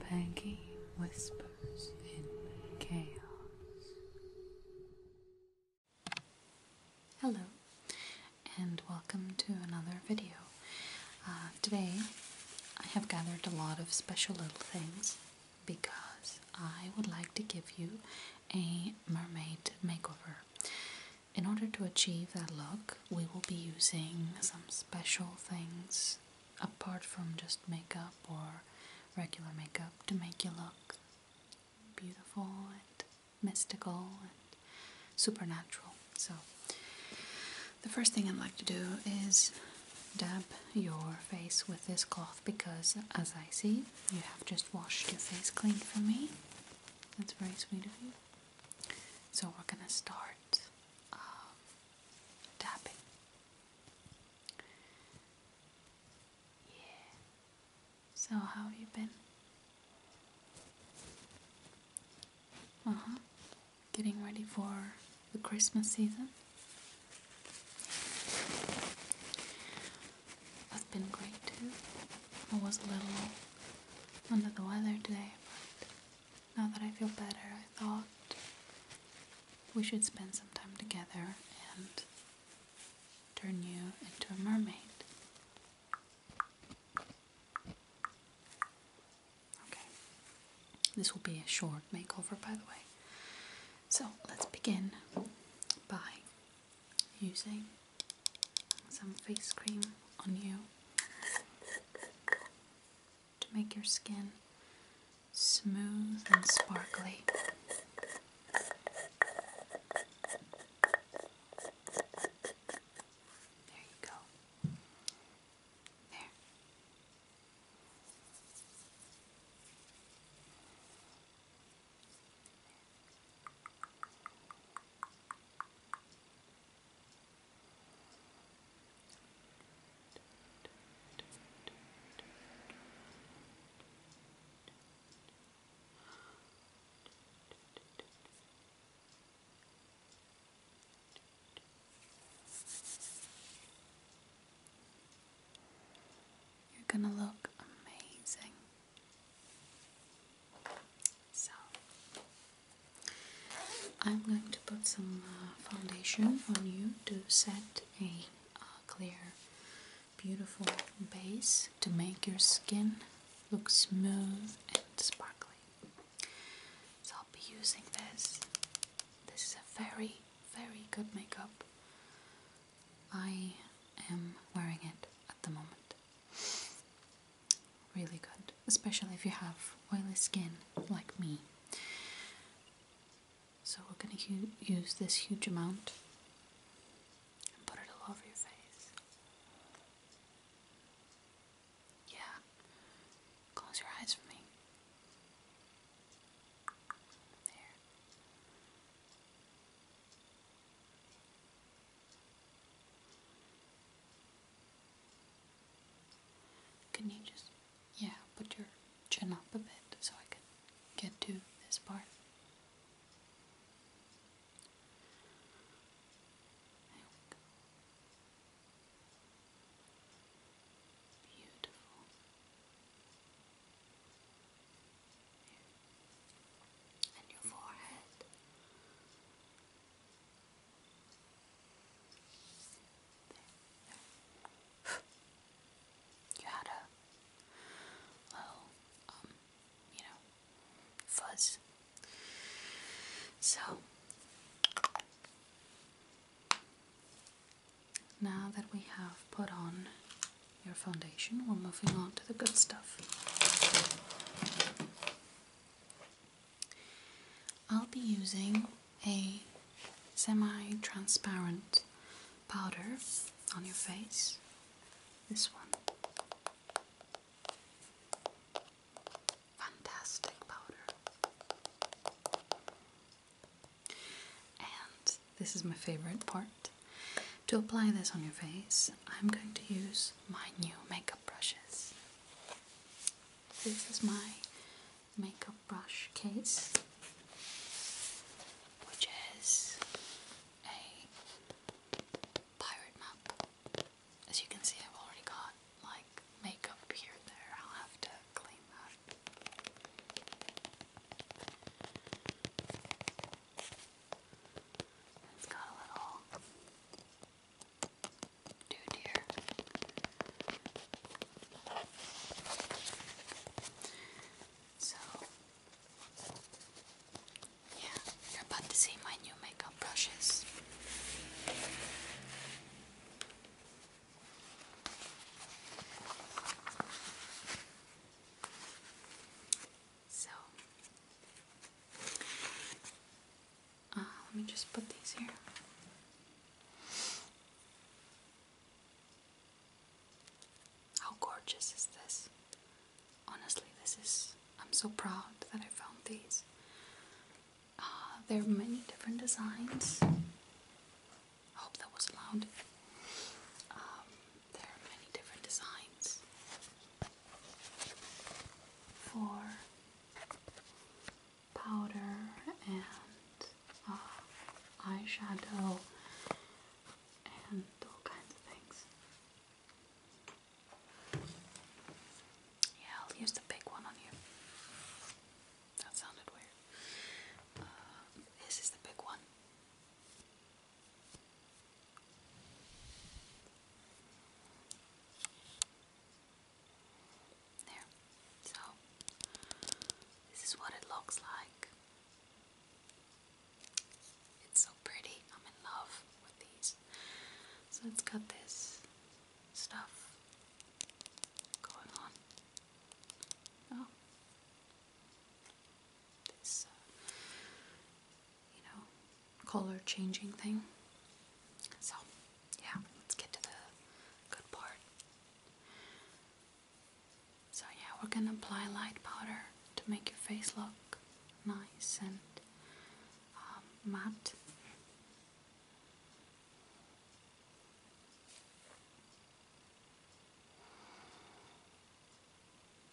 Peggy whispers in chaos. Hello, and welcome to another video. Uh, today, I have gathered a lot of special little things because I would like to give you a mermaid makeover. In order to achieve that look, we will be using some special things apart from just makeup or regular makeup to make you look beautiful and mystical and supernatural. So, the first thing I'd like to do is dab your face with this cloth because, as I see, you have just washed your face clean for me. That's very sweet of you. So we're going to start um, tapping. Yeah. So how have you been? Uh huh. Getting ready for the Christmas season. That's been great too. I was a little under the weather today, but now that I feel better, I thought we should spend some time together and turn you into a mermaid. Okay. This will be a short makeover, by the way. So let's begin by using some face cream on you to make your skin smooth and sparkly. There you go. There. You're going to look amazing. So I'm going to put some uh, foundation on you to set a uh, clear, beautiful base to make your skin look smooth and sparkly. So I'll be using this. This is a very, very good makeup. I am wearing it at the moment really good, especially if you have oily skin like me. So, we're going to use this huge amount put it all over your face. Yeah, close your eyes for me. There. Can you just, yeah, put your chin up a bit so I can get to this part? Beautiful. And your forehead. You had a little, um, you know, fuzz. So, now that we have put on your foundation, we're moving on to the good stuff. I'll be using a semi-transparent powder on your face, this one. Fantastic powder. And this is my favorite part. To apply this on your face, I'm going to use my new makeup brushes. This is my makeup brush case, which is a pirate map. As you can see, I've already got like makeup here and there. I'll have to clean that. It's got a little dude here. So, yeah, you're about to see my new makeup brushes. So, uh, let me just put these here. How gorgeous is this? Honestly, this is. I'm so proud that I found these. Uh, there are many different designs. hope that was loud. Um, there are many different designs for powder and uh, eyeshadow and all kinds of things. Yeah, I'll use the big one on you. That sounded weird. Uh, this is the big one. There. So, this is what it looks like. It's so pretty. I'm in love with these. So, it's got this stuff going on. Oh. This uh, you know, color changing thing. So, yeah, let's get to the good part. So, yeah, we're gonna apply light powder to make your face look nice and um, matte.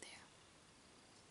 There.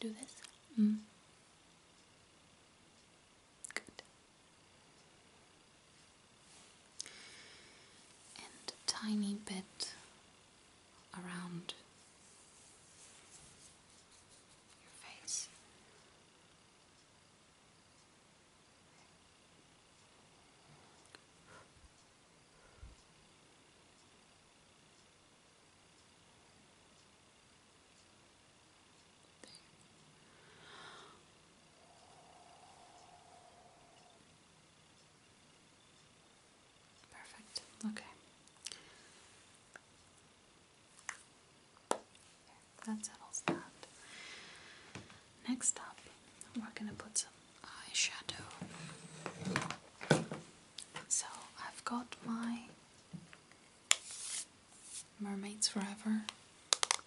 Do this. Mm. Good. And a tiny bit around your face. Perfect. Okay. There, that settles that. Next up, we're going to put some eyeshadow. So I've got my Mermaids Forever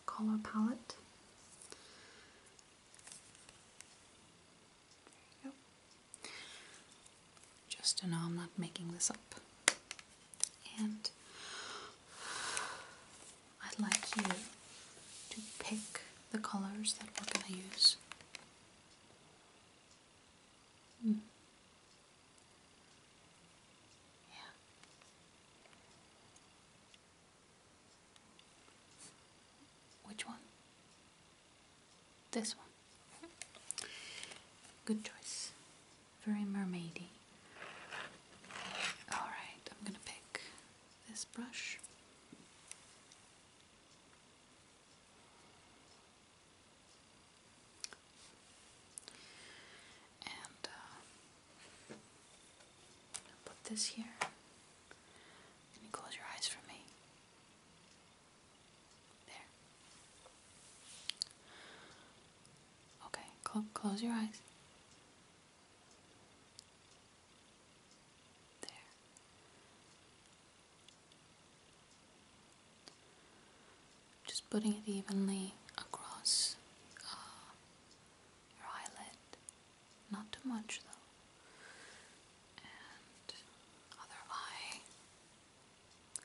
color palette. Just to know I'm not making this up. And I'd like you to pick the colors that we're going to use. Hmm. Yeah. Which one? This one. Good choice. Very mermaidy. Alright, I'm gonna pick this brush. And uh, put this here. Can you close your eyes for me? There. Okay, close your eyes. Just putting it evenly across uh, your eyelid. Not too much though. other eye.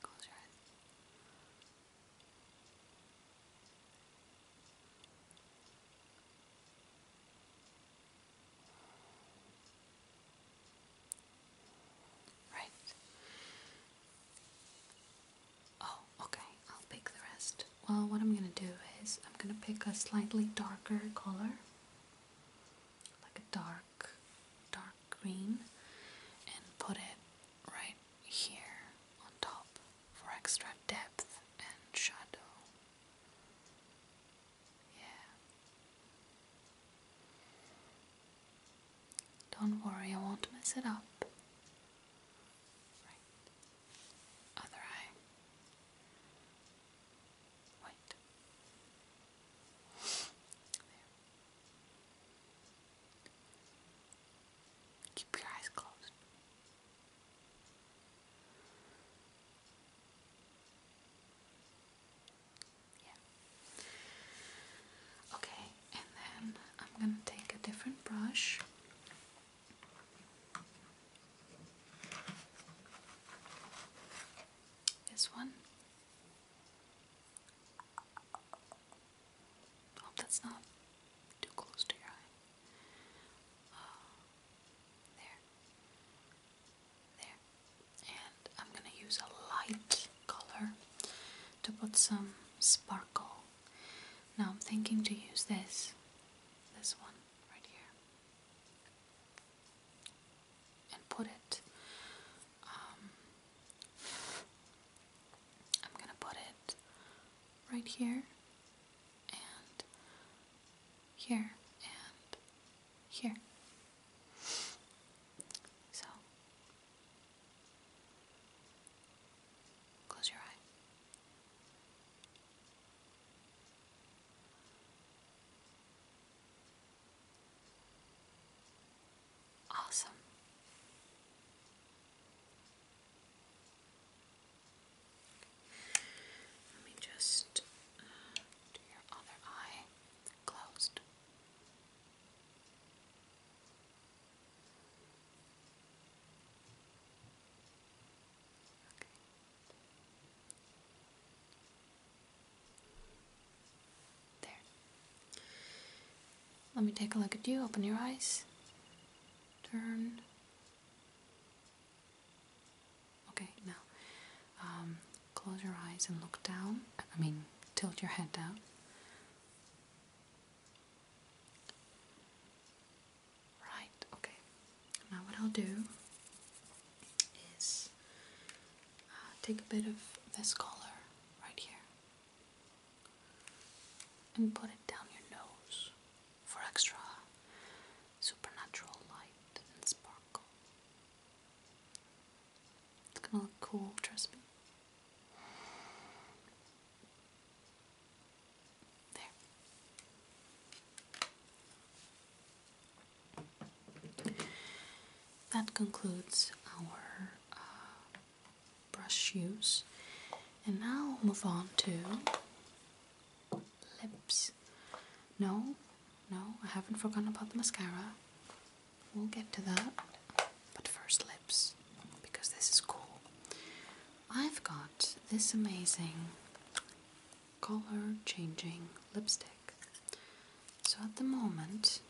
Close your eyes. Right. Oh, okay. I'll pick the rest. Well, what I'm going to do is I'm going to pick a slightly darker color, like a dark, dark green, and put it right here on top for extra depth and shadow. Yeah. Don't worry, I won't mess it up. Other eye. Wait. There. Keep your eyes closed. Okay, and then I'm gonna take a different brush. This one. Hope that's not too close to your eye. Oh, there. There. And I'm gonna use a light color to put some sparkle. Now I'm thinking to use this, this one right here, and put it. Um, I'm gonna put it right here and here and here. So close your eye. Awesome. Let me just uh, do your other eye closed. There. Let me take a look at you. Open your eyes. Turn. Okay, now um, close your eyes and look down. I mean, tilt your head down. Right, okay. Now, what I'll do is uh, take a bit of this color right here and put it down your nose for extra supernatural light and sparkle. It's gonna look cool, trust me. There. That concludes our uh, brush use, and now I'll move on to lips. No, no, I haven't forgotten about the mascara. We'll get to that. But first, lips, because this is cool. I've got this amazing color changing lipstick. So at the moment,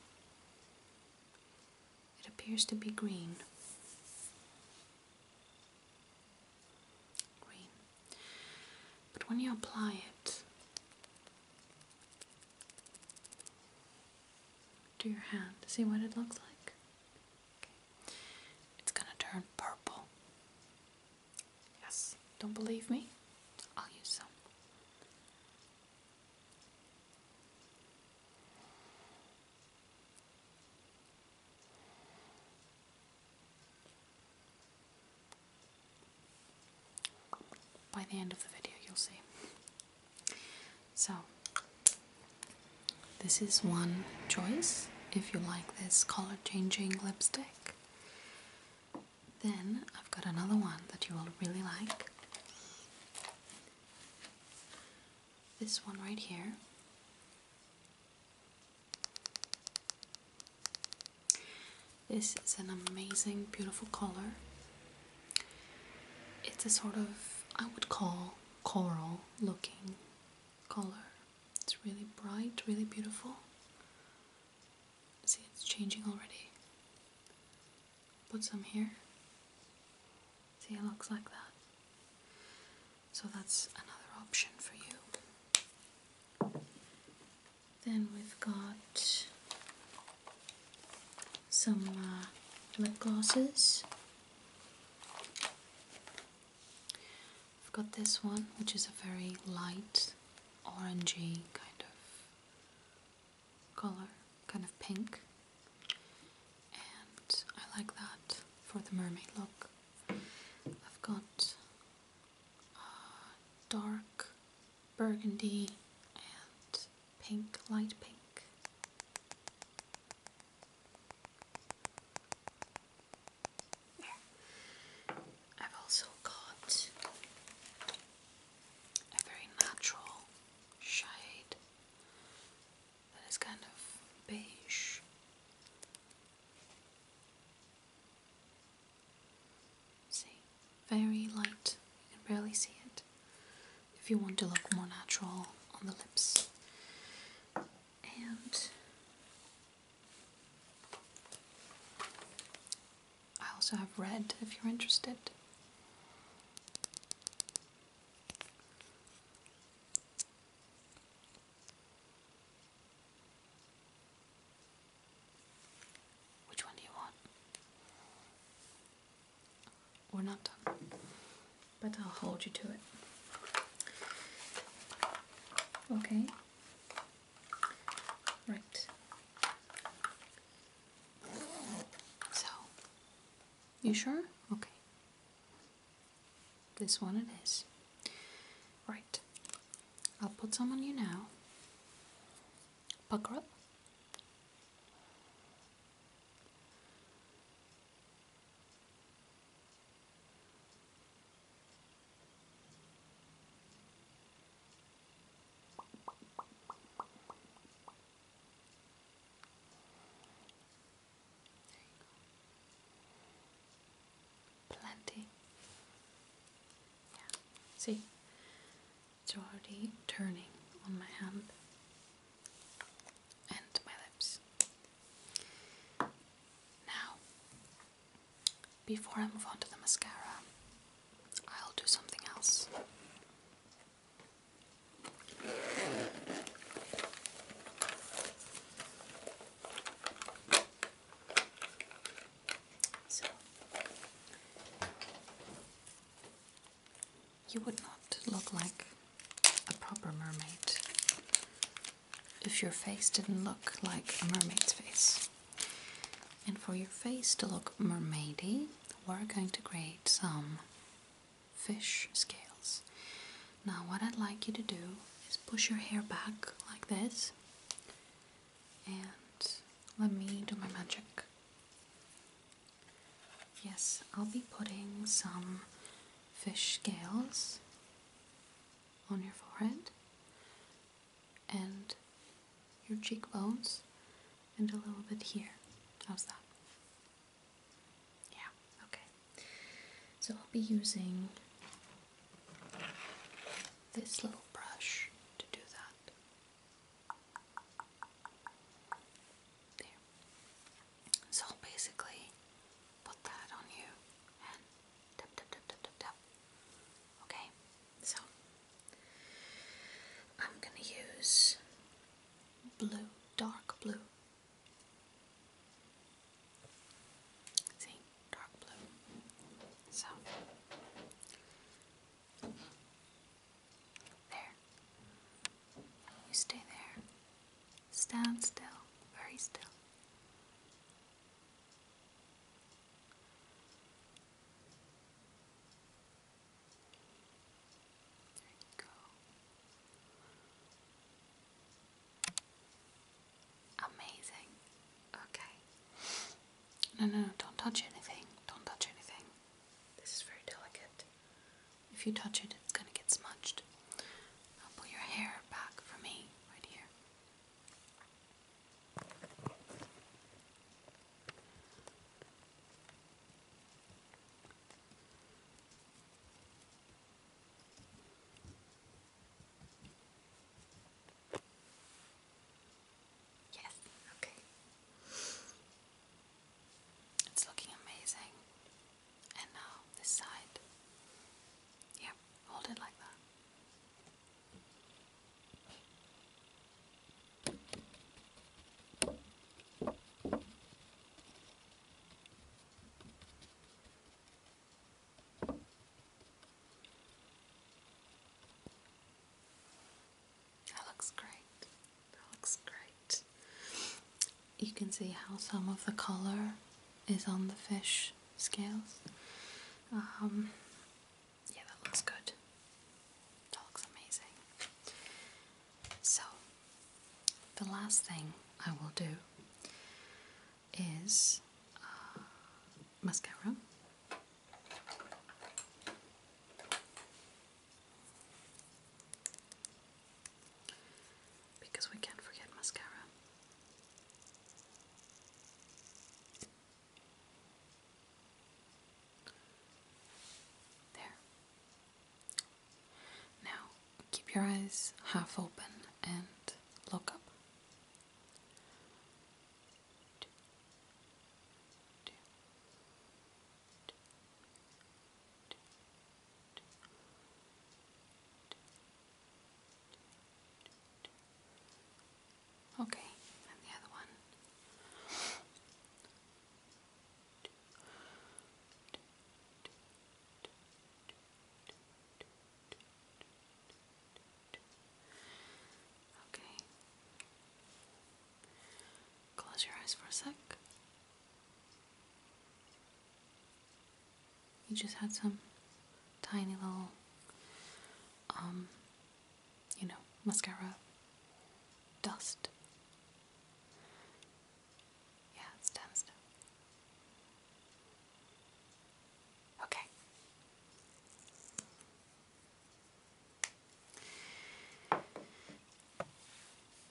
it appears to be green green. But when you apply it to your hand, see what it looks like? It's gonna turn purple. Yes, don't believe me? I'll use some. By the end of the video, you'll see. So, this is one choice if you like this color changing lipstick. Then I've got another one that you will really like. This one right here. This is an amazing, beautiful color. It's a sort of, I would call, coral looking color. It's really bright, really beautiful. See, it's changing already. Put some here. See, it looks like that. So that's another option for you. Then we've got some uh, lip glosses. I've got this one, which is a very light orangey kind of color, kind of pink and I like that for the mermaid look. I've got uh, dark burgundy and pink, light pink. I've also got a very natural shade that is kind of beige. See, very light, you can barely see it. If you want to look more natural on the lips, and I also have red if you're interested. Which one do you want? We're not done, but I'll hold you to it. Okay. Right. So, you sure? Okay. This one it is. Right. I'll put some on you now. Pucker up. Plenty. Yeah. See, it's already turning on my hand and my lips. Now, before I move on to the mascara, I'll do something else. So you would not look like a proper mermaid if your face didn't look like a mermaid's face. And for your face to look mermaidy, we're going to create some fish scales. Now, what I'd like you to do is push your hair back like this, and let me do my magic. Yes, I'll be putting some fish scales on your forehead and your cheekbones and a little bit here. How's that? Yeah, okay. So I'll be using this little brush to do that. There. So basically put that on you Okay, so I'm gonna use blue, dark blue See, dark blue. So, there. You stay there. Stand still, very still. There you go. Amazing. Okay. No, no, no, don't touch anything. Don't touch anything. This is very delicate. If you touch it, it's gonna get smudged. pull your hair back for me right here. Yes, okay. It's looking amazing. And now this side. Yep, hold it like that. That looks great. That looks great. You can see how some of the color is on the fish scales. Um, yeah, that looks good. That looks amazing. So, the last thing I will do is uh, mascara. Because we can't forget mascara. There. Now keep your eyes half open and look up. Okay, and the other one. Okay. Close your eyes for a sec. You just had some tiny little, um, you know, mascara dust yeah, it's done Okay.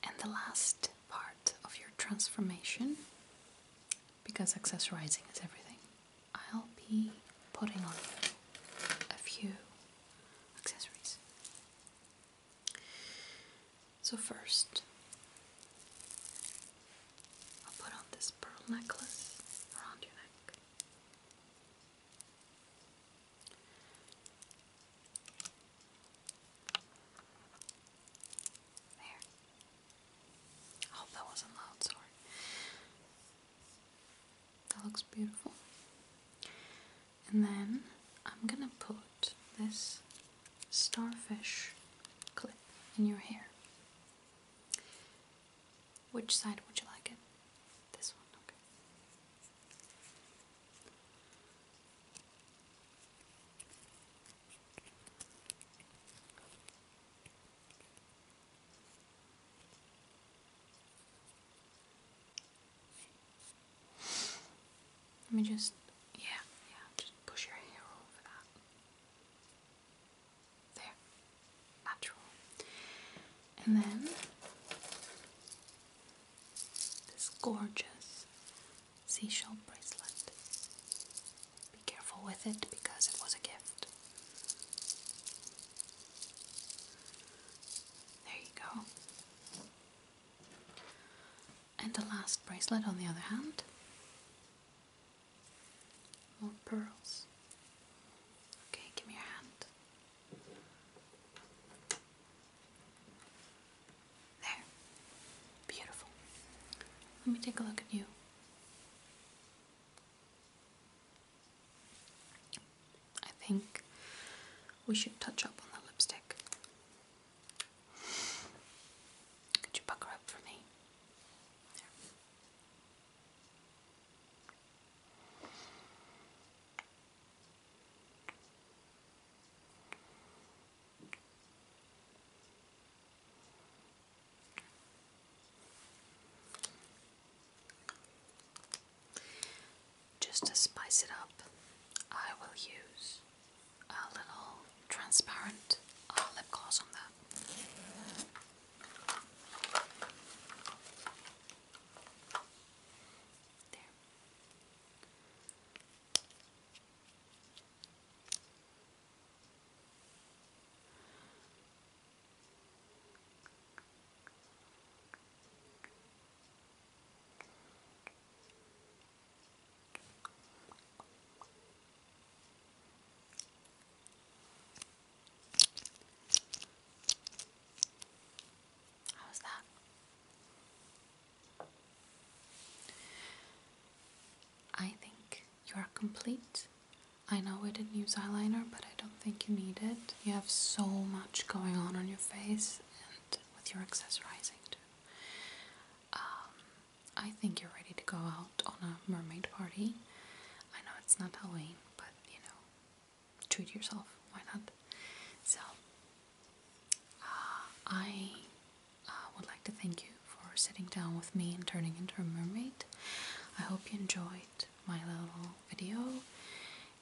And the last part of your transformation, because accessorizing is everything, I'll be putting on a few accessories. So, first, I'll put on this pearl necklace around your neck. There. I hope that wasn't loud, sorry. That looks beautiful. And then I'm gonna put this starfish clip in your hair. Which side would you like it? This one, okay. Let me just, yeah, yeah, just push your hair over that. There. Natural. And then this gorgeous seashell bracelet. Be careful with it because it was a gift. There you go. And the last bracelet, on the other hand, more pearls. Okay, give me your hand. There. Beautiful. Let me take a look at you. I think we should touch up on the lipstick. Could you pucker up for me? Just to spice it up, I will use a little transparent uh, lip gloss on that. There. How's that? I think you are complete. I know we didn't use eyeliner, but I don't think you need it. You have so much going on on your face, with your accessorizing too. Um, I think you're ready to go out on a mermaid party. I know it's not Halloween, but you know, treat yourself. Why not? So, uh, I uh, would like to thank you for sitting down with me and turning into a mermaid. I hope you enjoyed my little video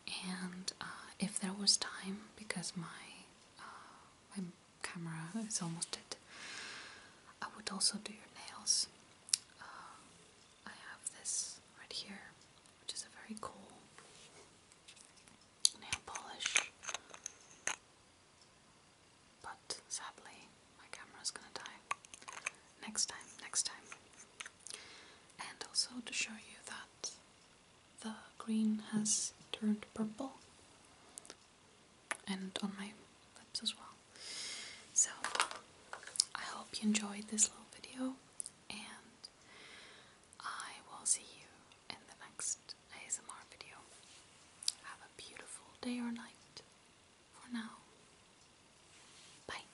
and uh, if there was time, because my uh, my camera is almost dead, I would also do your nails. Uh, I have this right here, which is a very cool nail polish. But sadly, my camera's gonna die. Next time, next time. And also to show you that the green has turned purple and on my lips as well. So I hope you enjoyed this little video and I will see you in the next ASMR video. Have a beautiful day or night for now. Bye.